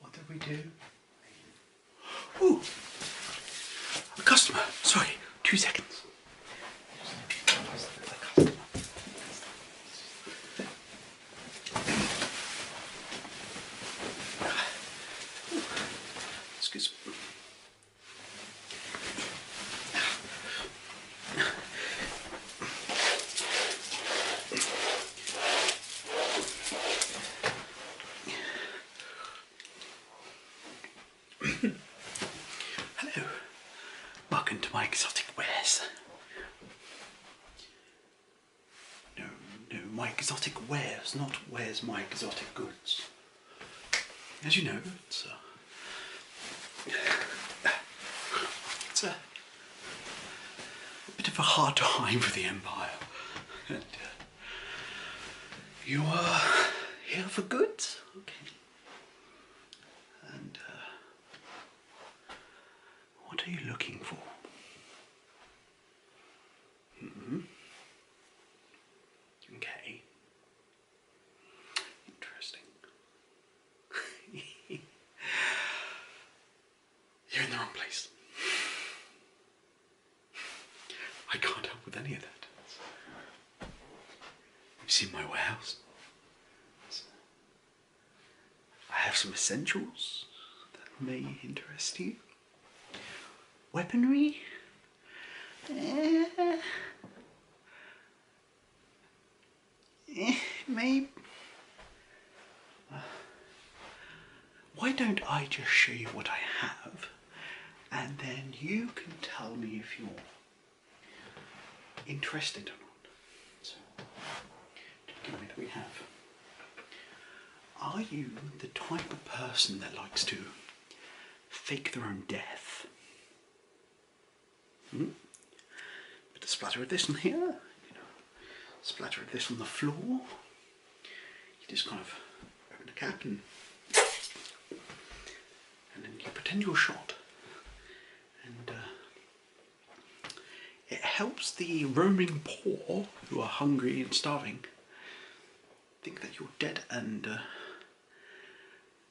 What did we do? Ooh! A customer! Sorry, two seconds. Excuse me. Hello. Welcome to my exotic wares. No, no, my exotic wares, not where's my exotic goods. As you know, it's uh, a, bit of a hard time for the Empire. And uh, you are here for goods? Okay. And uh, what are you looking for? Hmm? Okay. Interesting. You're in the wrong place. I can't help with any of that. You've seen my warehouse? I have some essentials that may interest you. Weaponry? Eh, eh, maybe. Why don't I just show you what I have and then you can tell me if you're interested or not. So, given that we have, are you the type of person that likes to fake their own death? Hmm? splatter of this on here, you know, splatter of this on the floor. You just kind of open the cap and and then you pretend you're shot, and uh, it helps the roaming poor who are hungry and starving think that you're dead and uh,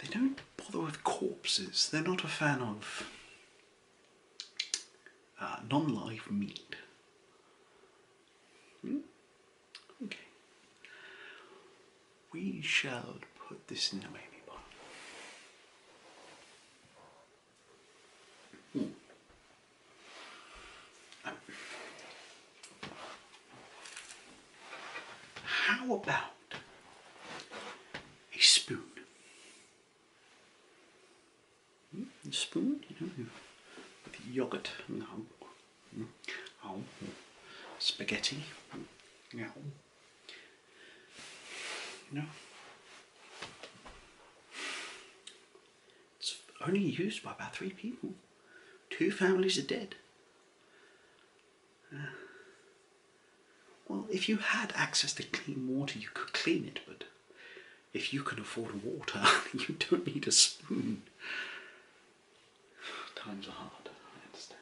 they don't bother with corpses. They're not a fan of uh, non live meat. Hmm? Okay we shall put this in the baby pot. Hmm. how about a spoon? Hmm, spoon, you know, with yogurt and no. mm, oh, spaghetti. Hmm, yeah. You It's only used by about three people. Two families are dead. Uh, well, if you had access to clean water, you could clean it, but if you can afford water, you don't need a spoon. Times are hard, I understand.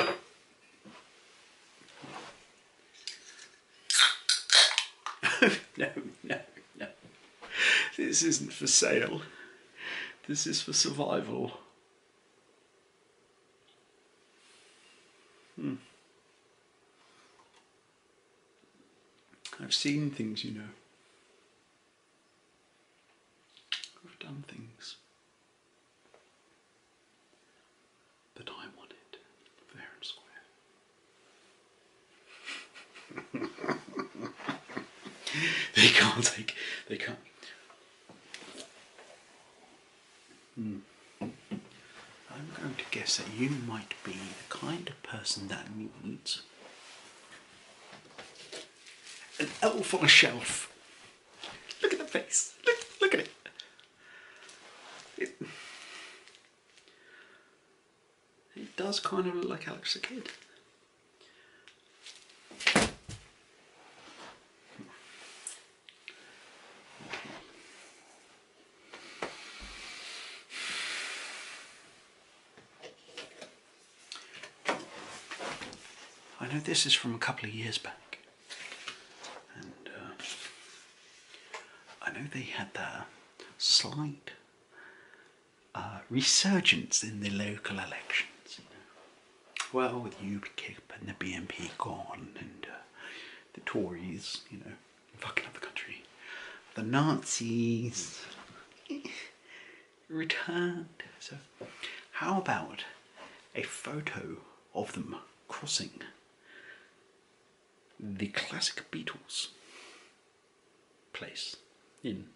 Okay. no, no, no. This isn't for sale. This is for survival. Hmm. I've seen things, you know. I've done things. But I want it fair and square. they can't take, they can't. Hmm. I'm going to guess that you might be the kind of person that needs an elf on a shelf. Look at the face. Look, look at it. it. It does kind of look like Alex the Kid. I know this is from a couple of years back, and uh, I know they had a slight uh, resurgence in the local elections. Well, with UKIP and the BNP gone, and uh, the Tories, you know, fucking up the country, the Nazis. returned. So, how about a photo of them crossing the classic Beatles place in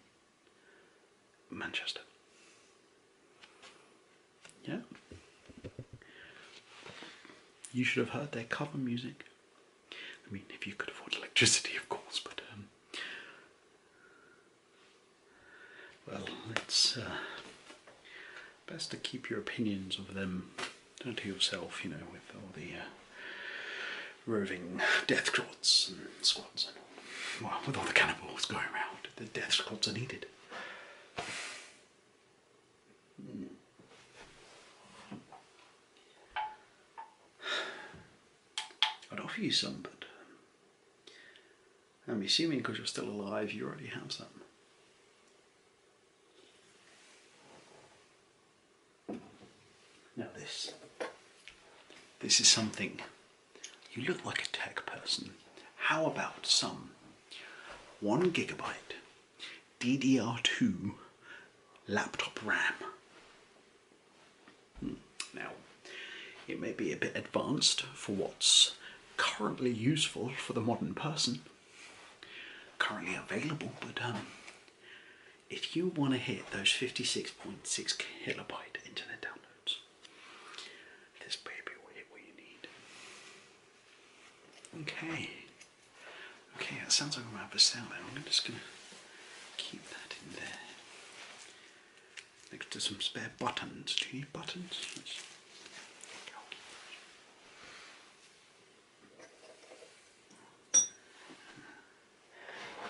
Manchester? Yeah. You should have heard their cover music. I mean, if you could afford electricity, of course, but um, well, it's uh, best to keep your opinions of them to yourself, you know, with all the uh, roving death squads and squads and all. Well, with all the cannibals going around, the death squads are needed. Hmm. I'd offer you some, but um, I'm assuming because you're still alive, you already have some. Now this. This is something. You look like a tech person. How about some 1 gigabyte DDR2 laptop RAM? Hmm. Now, it may be a bit advanced for what's currently useful for the modern person, currently available, but um, if you want to hit those 56.6 kilobyte internet downloads, this baby will hit what you need. Okay. Okay, that sounds like I'm out of a sound there. I'm just going to keep that in there next to some spare buttons. Do you need buttons?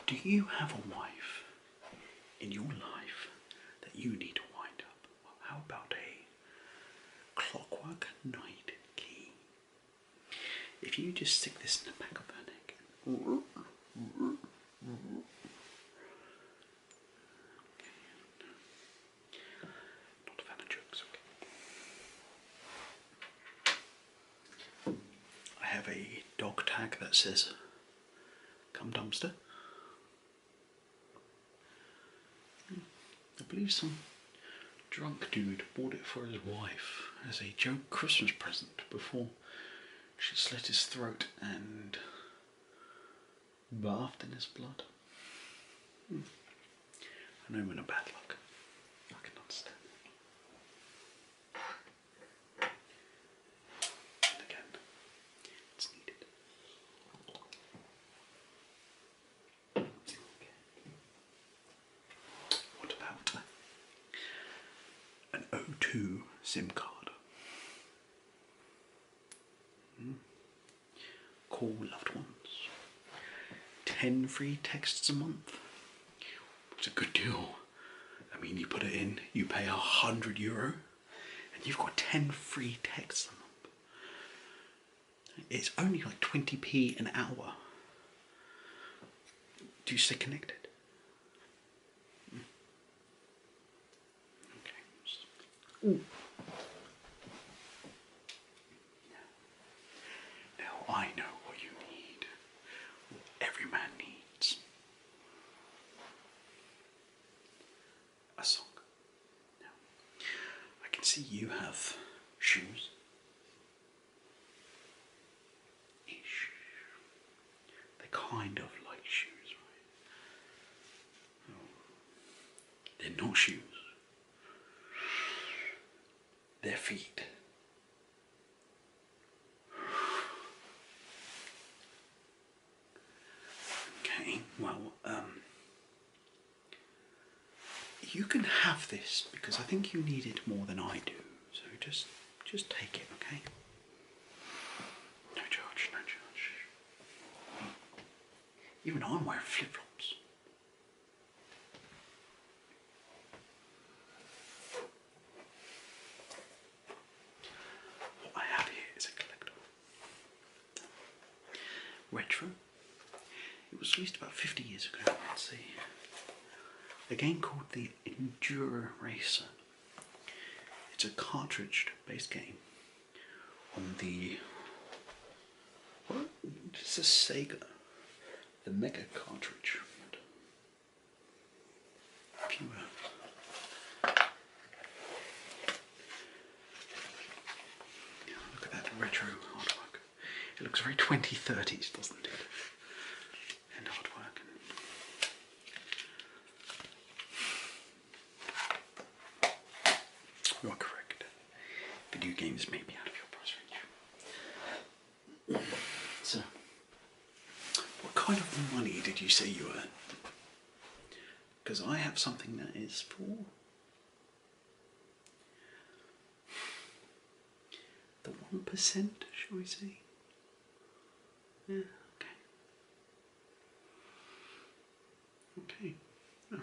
do you have a wife in your life that you need to wind up? how about a clockwork night key? If you just stick this in the back of her neck, Mm-hmm. Not a fan of jokes, okay. I have a dog tag that says, Come dumpster. Hmm. I believe some drunk dude bought it for his wife as a joke Christmas present before she slit his throat and bathed in his blood. Hmm. I am in bad luck. I can understand that. again, it's needed. Okay. What about an O2 SIM card? Hmm. Call loved ones. 10 free texts a month. It's a good deal. I mean, you put it in, you pay a hundred euro, and you've got 10 free texts a month. It's only like 20p an hour. Do you stay connected? Okay. Now I know what you need, every man needs. A song. Now, I can see you have shoes. They're kind of like shoes, right? They're not shoes. They're feet. Okay, well, um, you can have this because I think you need it more than I do. So just just take it, okay? No charge, no charge. Even I'm wearing flip flops. What I have here is a collectible. Retro. It was released about 50 years ago. Let's see a game called the Enduro Racer. It's a cartridge-based game on the what? It's a Sega, the Mega cartridge. Uh, look at that retro artwork. It looks very 2030s, doesn't it? You are correct. Video games may be out of your price range. So, what kind of money did you say you earned? Because I have something that is for the one percent, shall we say? Yeah, okay. Okay. Oh.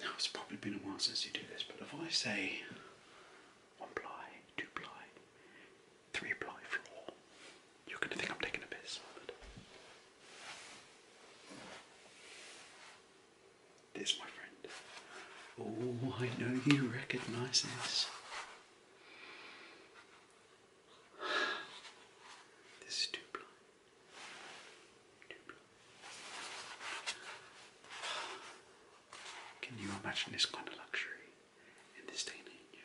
Now it's probably been a while since you do this, but if I say one ply, two ply, three ply floor, you're gonna think I'm taking a piss, there's my friend. Oh, I know you recognize this. This is too blind. Too blind. Can you imagine this kind of luxury in this day and age?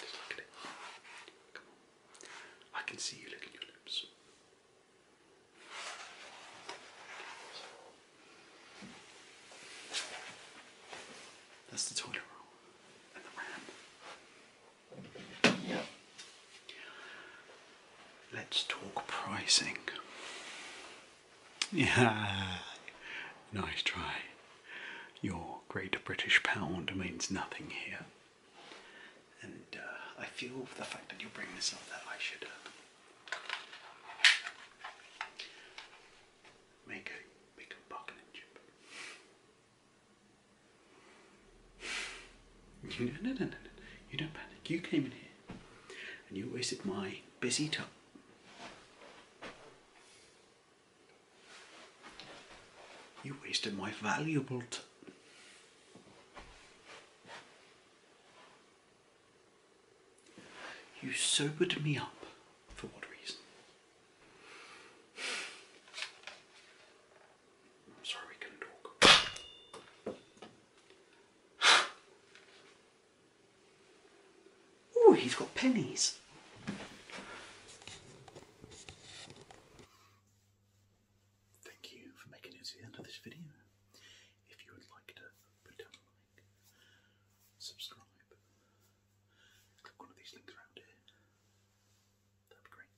Just look at it. Come on. I can see you licking your lips. That's the toilet room. Let's talk pricing. Yeah, nice try. Your great British pound means nothing here. And uh, I feel the fact that you bring this up that I should uh, make a make a bargaining chip. You, no, no, no, no, no. You don't panic. You came in here and you wasted my busy time. You wasted my valuable time. You sobered me up. For what reason? I'm sorry we couldn't talk. oh, he's got pennies. Thank you for making it to the end of this video. If you would like to put down a like, subscribe, click one of these links around here. That'd be great.